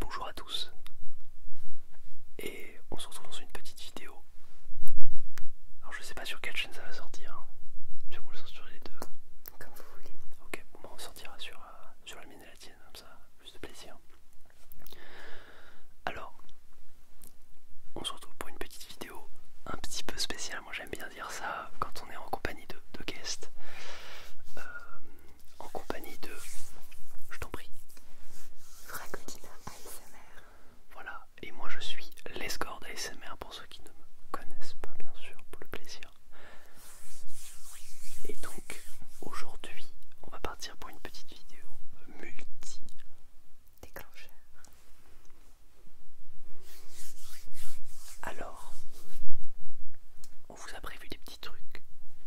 Bonjour à tous et on se retrouve dans une petite vidéo. Alors je sais pas sur quelle chaîne ça va sortir. je coup on le sort sur les deux. Comme vous voulez. Ok, bon bah, on sortira sur, euh, la mine et la tienne, comme ça, plus de plaisir. Alors, on se retrouve pour une petite vidéo un petit peu spéciale, moi j'aime bien dire ça quand on est en compagnie de, de guests. Euh, en compagnie de, je t'en prie, Fragotina ASMR. Voilà, et moi je suis l'escorte ASMR pour ceux qui ne me connaissent pas, bien sûr, pour le plaisir. Et donc, aujourd'hui, on va partir pour une petite vidéo multi déclencheur. Alors, on vous a prévu des petits trucs.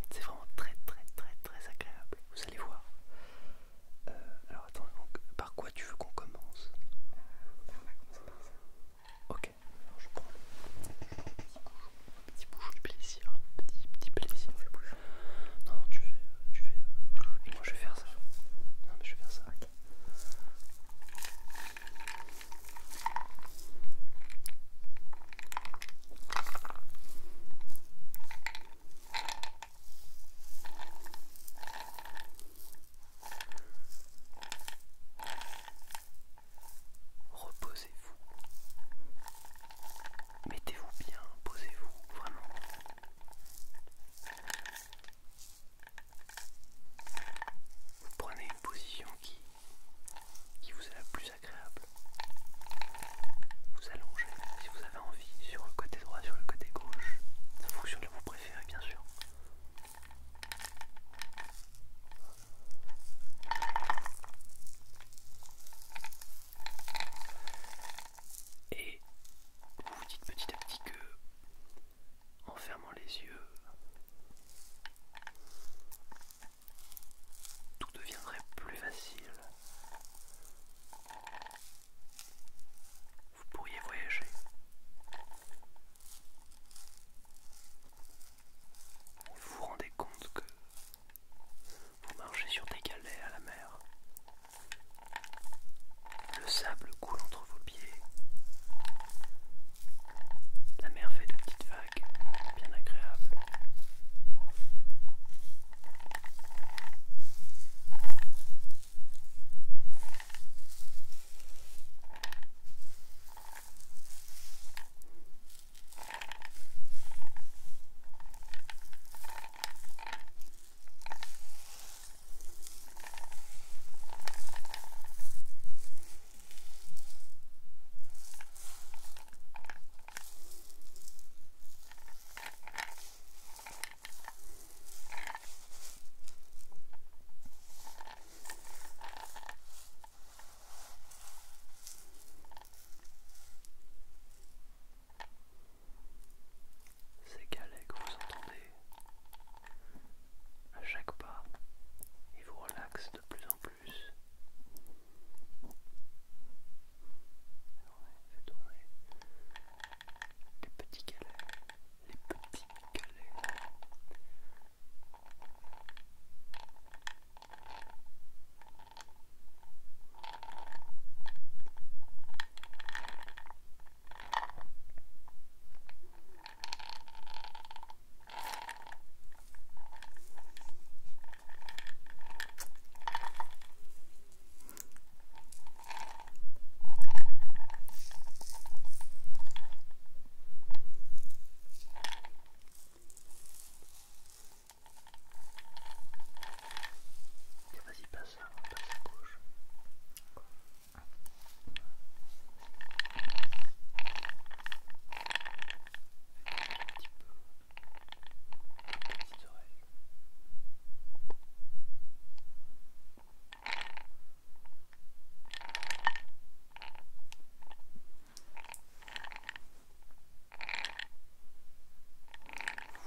C'est vraiment très très très très agréable. Vous allez voir. Euh, alors attends, par quoi tu veux qu'on commence On va commencer par ça. Ok, alors je prends un petit bouchon du plaisir. Petit, petit plaisir. Non, non, tu fais. Tu fais euh, moi je vais faire ça. Non mais je vais faire ça. Reposez-vous. Mettez-vous bien, posez-vous vraiment. Vous prenez une position qui qui vous est la plus agréable. Vous allongez si vous avez envie sur le côté droit, sur le côté gauche, en fonction de vous préférez bien sûr. Et vous vous dites petit à petit que en fermant les yeux, tout deviendrait plus facile. Vous pourriez voyager. Vous vous rendez compte que vous marchez sur des galets à la mer. Le sable coule entre vos pieds. La mer fait de petites bien agréable. Ces galets que vous entendez à chaque pas, ils vous relaxent de plus en plus plus. Fait tourner les petits galets, les petits galets. Et vas-y, passe, passe à gauche.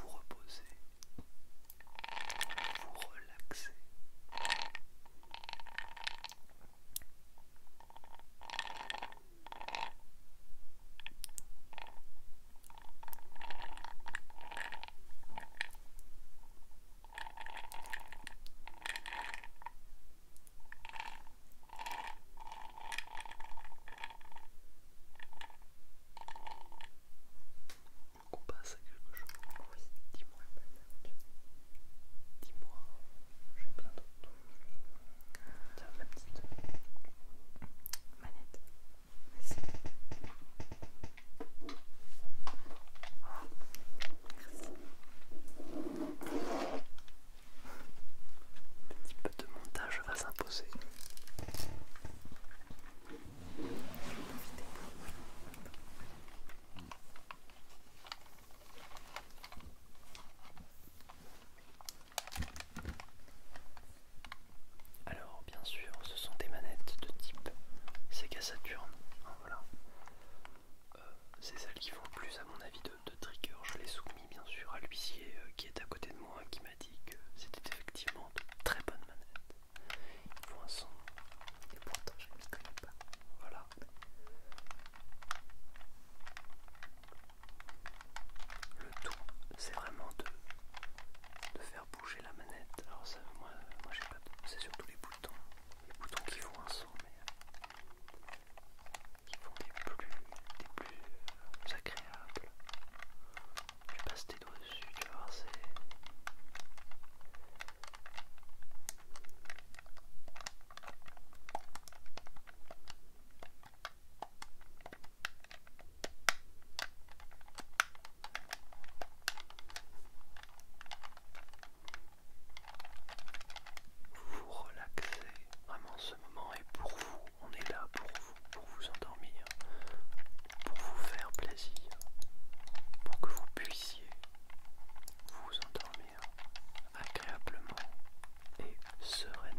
Vous reposez, vous relaxez coup passe à quelque chose. dis-moi. j'ai plein Tiens, ma petite manette. Merci. Merci. Un petit peu de montage va s'imposer. Alors bien sûr ce sont des manettes de type Sega Saturn, hein, voilà. Euh, c'est celles qui font le plus à mon avis de, trigger, je l'ai soumis bien sûr à l'huissier euh, qui est à côté de moi qui m'a dit que c'était effectivement de très bonnes manettes. Il faut un son. Et pourtant je ne les connais pas. Voilà. Le tout, c'est vraiment de, faire bouger la manette. Alors ça, moi, j'ai pas C'est surtout les boutons. Les boutons qui font un son, mais qui font des plus, des plus euh, agréables. Tu passes tes doigts dessus, tu vas voir, c'est... Vous relaxez, vraiment ce moment est pour vous, on est là pour vous, pour vous endormir, pour vous faire plaisir, pour que vous puissiez vous endormir agréablement et sereinement.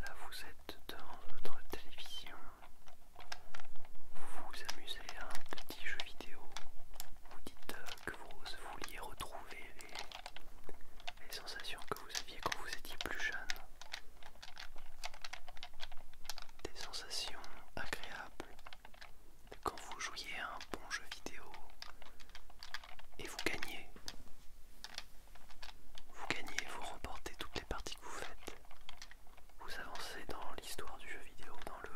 Là vous êtes devant votre télévision vous vous amusez à un petit jeu vidéo, vous dites euh, que vous vouliez retrouver les, sensations que vous aviez quand vous étiez plus jeune, des sensations agréables quand vous jouiez à un bon jeu vidéo et vous gagnez. Vous gagnez, vous remportez tout que vous faites, vous avancez dans l'histoire du jeu vidéo, dans le,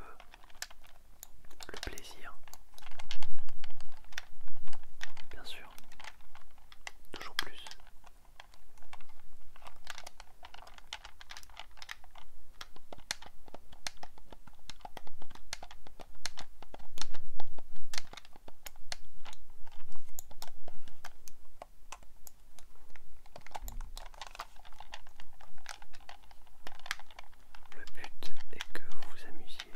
le plaisir. Bien sûr, toujours plus. Le but est que vous vous amusiez,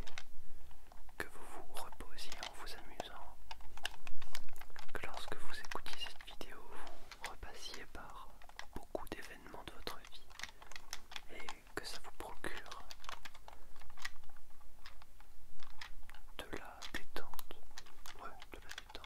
que vous vous reposiez en vous amusant, que lorsque vous écoutiez cette vidéo, vous repassiez par beaucoup d'événements de votre vie et que ça vous procure de la détente. Ouais, de la détente.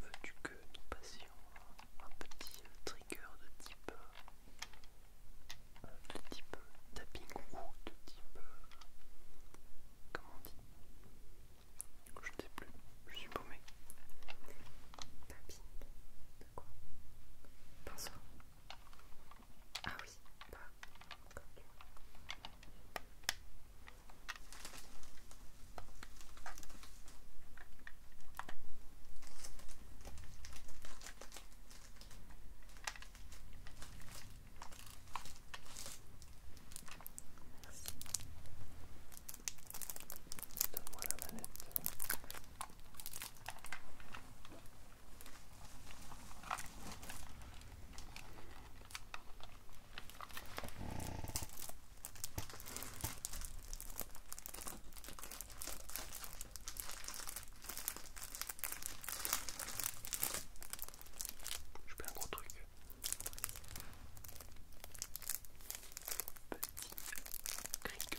Veux-tu que nous passions un petit euh, trigger de type euh, de type euh, tapping ou de type comment on dit Je ne sais plus, je suis paumé. Tapping de quoi ah oui, donne la manette. Je peux un gros truc. Petit cricket.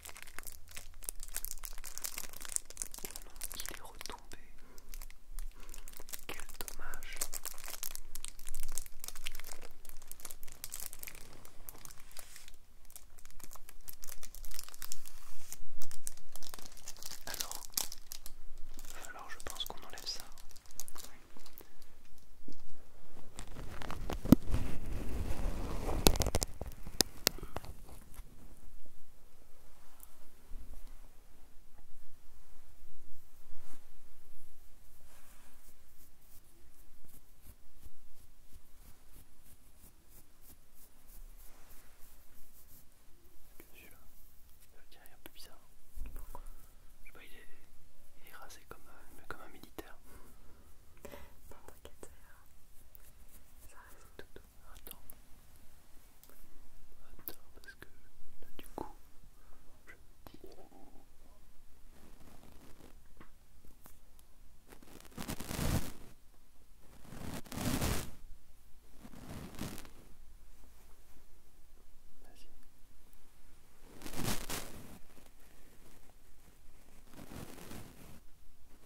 Oh il est retombé. Quel dommage. Alors, il je pense qu'on enlève ça il est un peu bizarre. il est, rasé comme, euh, comme un militaire. Bon, t'inquiète, ça Attends. Attends, parce que du coup,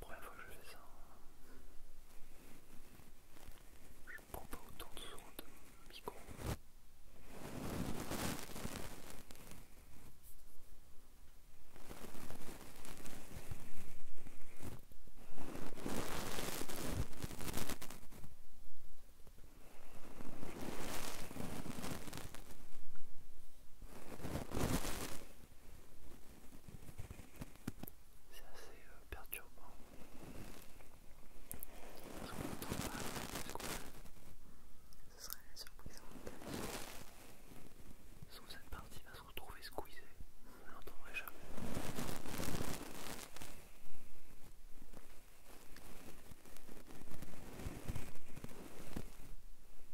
Première fois que je fais ça, hein. je ne prends pas autant de soin de micro. C'est assez euh, perturbant. Parce qu'on n'entend pas ce qu'on Ce serait surprenant. surprise en cette partie va se retrouver squeezée. On ne l'entendrait jamais.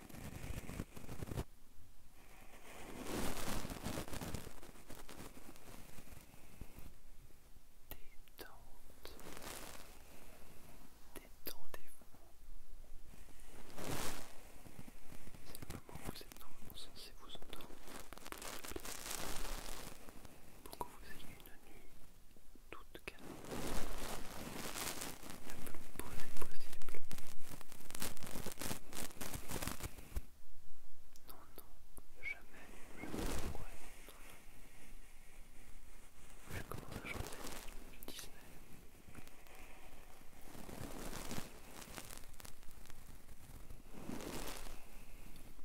Détente. Détendez-vous. C'est le moment où vous êtes normalement censé vous entendre pour que vous ayez une nuit toute calme. La plus posée possible. Non, non, jamais je ne pourrais être. Je commence à chanter Disney.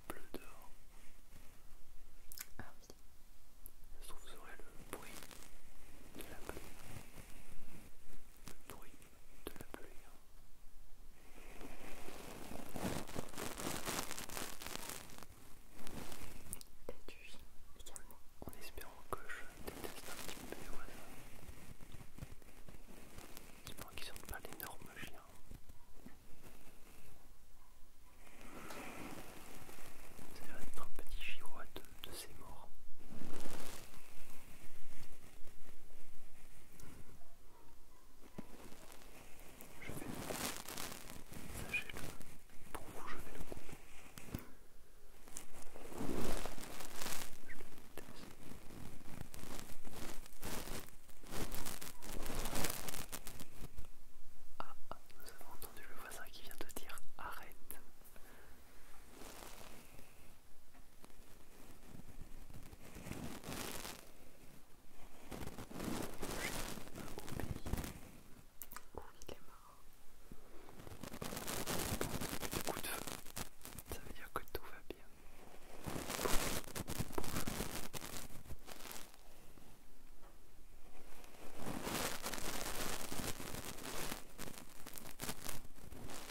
Bleu d'or. Ah oui. Sauf que vous aurez le bruit de la pluie. Le bruit de la pluie. Tatuis également. En espérant que je déteste un petit peu les oiseaux. J'espère qu'ils ne sortent pas d'énormes chiens. Ça va être un petit chihuahua de, ces morts. Je vais, sachez-le, pour vous je vais le couper. Je le Ah, ah, nous avons entendu le voisin qui vient de dire arrête. Où il est mort. Bon, coup de feu. Ça veut dire que tout va bien. Pouf, pouf.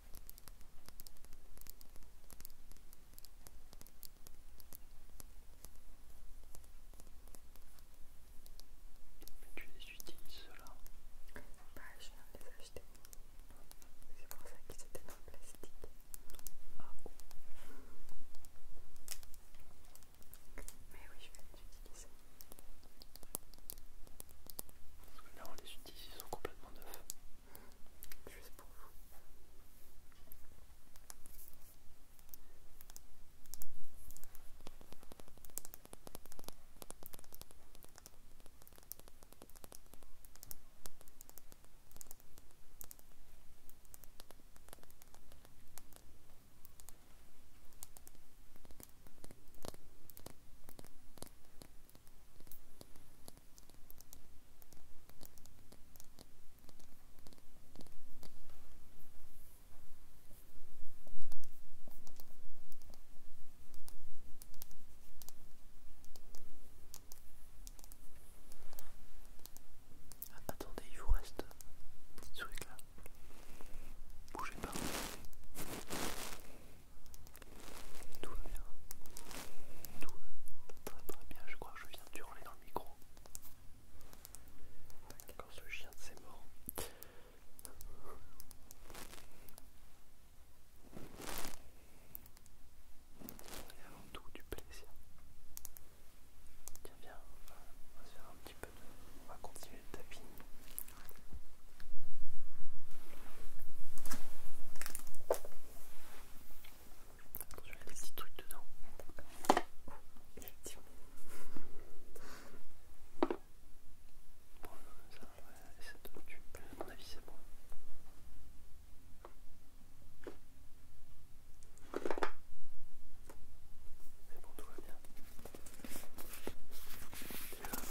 Mais tu les utilises là Bah je viens de les acheter. C'est pour ça qu'ils étaient dans le plastique. Mais oui, je vais les utiliser. Parce que là on les utilise, ils sont complètement neufs juste pour vous. Ah, attendez, il vous reste un petit truc là. Bougez pas. Tout va bien. Tout va très très bien. Je crois que je viens de hurler dans le micro. Quand ce chien c'est mort. Et avant tout du plaisir. Tiens viens, on va se faire un petit peu de... On va continuer le tapis. Attention, il y a des petits trucs dedans. Oh, effectivement. Bon, ça, ouais, ça te tue. À mon avis, c'est bon. C'est bon, tout va bien.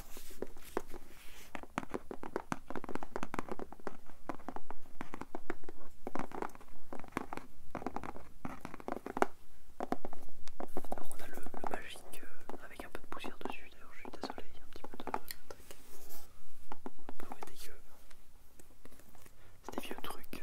Alors on a le, magique euh, avec un peu de poussière dessus, d'ailleurs je suis désolé, il y a un petit peu de truc. Ah C'est des vieux trucs.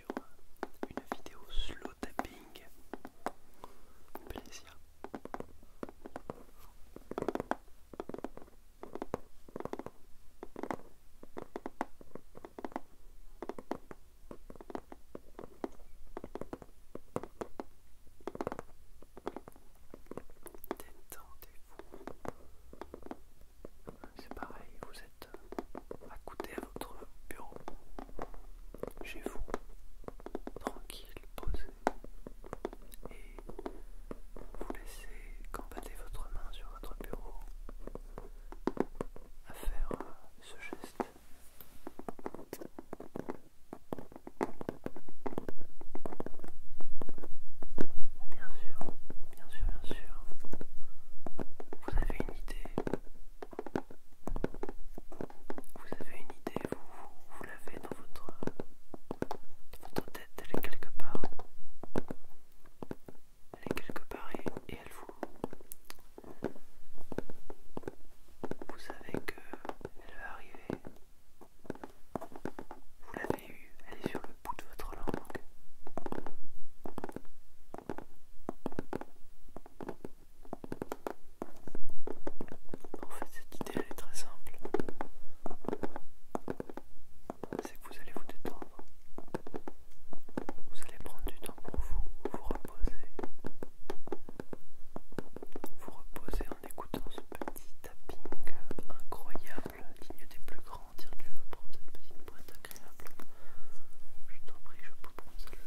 sur une vidéo slow tapping. Plaisir. Détendez-vous c'est pareil, vous êtes euh, côté à votre bureau, chez vous, tranquille, posé, et vous laissez combattre votre main sur votre bureau à faire euh, ce geste. Bien sûr, bien sûr, bien sûr. Vous avez une idée vous avez une idée, vous, vous, l'avez dans votre, votre tête, elle est quelque part. Elle est quelque part et, elle vous... Vous savez elle va arriver. Vous l'avez eue, elle est sur le bout de votre langue. En fait, cette idée elle est très simple. C'est que vous allez vous détendre. Vous allez prendre du temps pour vous, vous reposer. Vous reposer en écoutant ce petit tapping incroyable, digne des plus grands. Tiens, tu veux prendre cette petite boîte agréable Je t'en prie, je peux prendre celle-là.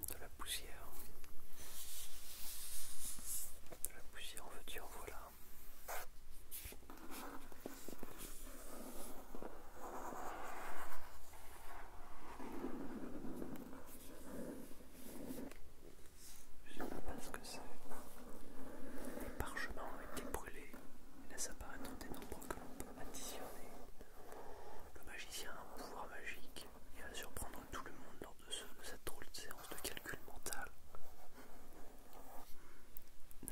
de la poussière. De la poussière, en veux-tu, en voilà. Je ne sais pas ce que c'est. Les parchemins ont été brûlés et ça apparaître des nombres que l'on peut additionner. Le magicien a un pouvoir magique il va surprendre tout le monde lors de, cette drôle de séance de calcul mental.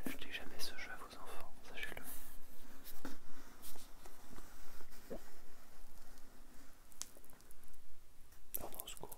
N'achetez jamais ce jeu à vos enfants, sachez-le. Ah secours.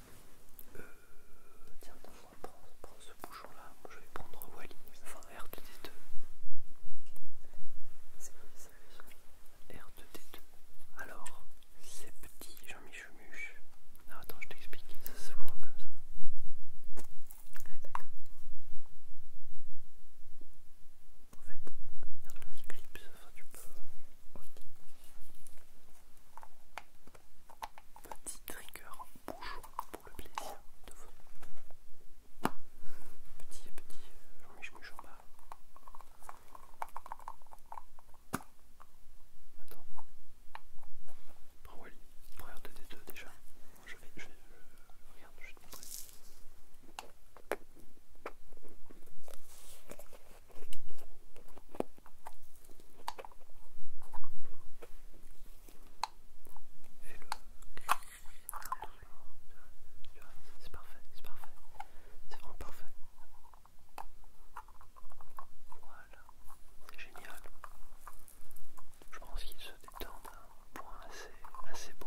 Euh, tiens, prends, ce bouchon-là. Je vais prendre Wally. Enfin, R2D2. C'est quoi ça R2D2. Alors, ces petits Jean-Michumuche. Ah, attends, je t'explique. Ça se voit comme ça. Ah, d'accord. En fait, il y a un petit clip, ça, enfin, tu peux. OK petit trigger bouchon pour le plaisir de vos petit petit Jean-Michel euh, Attends. Prends Wally. Prends r 2 deux déjà. Je vais, je vais, euh, je vais te montrer. C'est parfait, c'est parfait, c'est vraiment parfait. Voilà, c'est génial. Je pense qu'il se détend à un point assez, assez bon.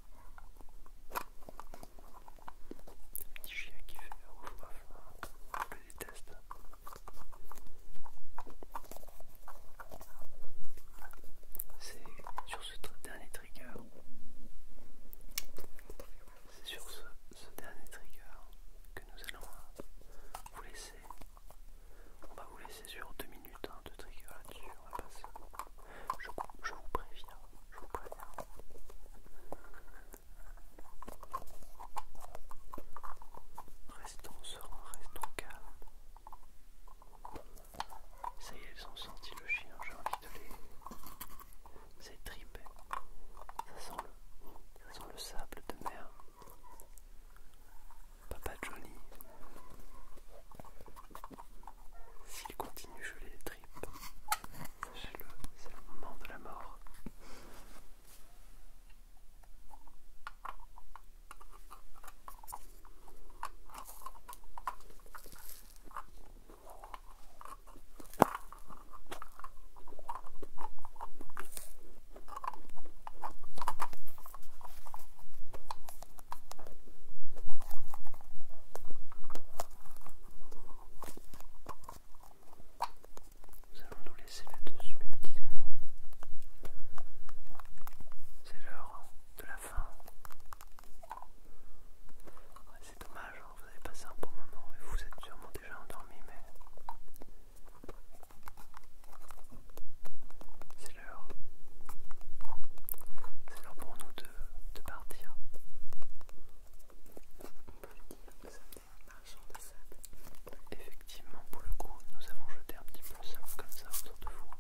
Un petit chien qui fait ouf je déteste. C'est sur ce dernier trigger. C'est sur ce, dernier trigger que nous allons euh, vous laisser. On va vous laisser sur 2 minutes un hein, de trigger là-dessus. On passer je, vous préviens, je vous préviens. Restons sereins, restons calmes. Ça y est, elles ont senti le chien, j'ai envie de les. C'est Ça sent, le, sable de mer. Papa Johnny. S'il continue, je les le c'est le moment de la mort. Nous allons nous laisser là-dessus, mes petits amis. C'est l'heure de la fin. C'est dommage, hein, vous avez passé un bon moment et vous êtes sûrement déjà endormi, mais c'est l'heure. C'est l'heure pour nous de partir on peut de sable. Effectivement, pour le coup, nous avons jeté un petit peu de sable comme ça autour de vous.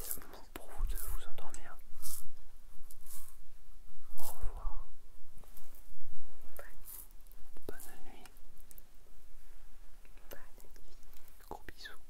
C'est le moment pour vous de vous endormir. Au revoir. Bonne nuit. Bonne Gros bisous.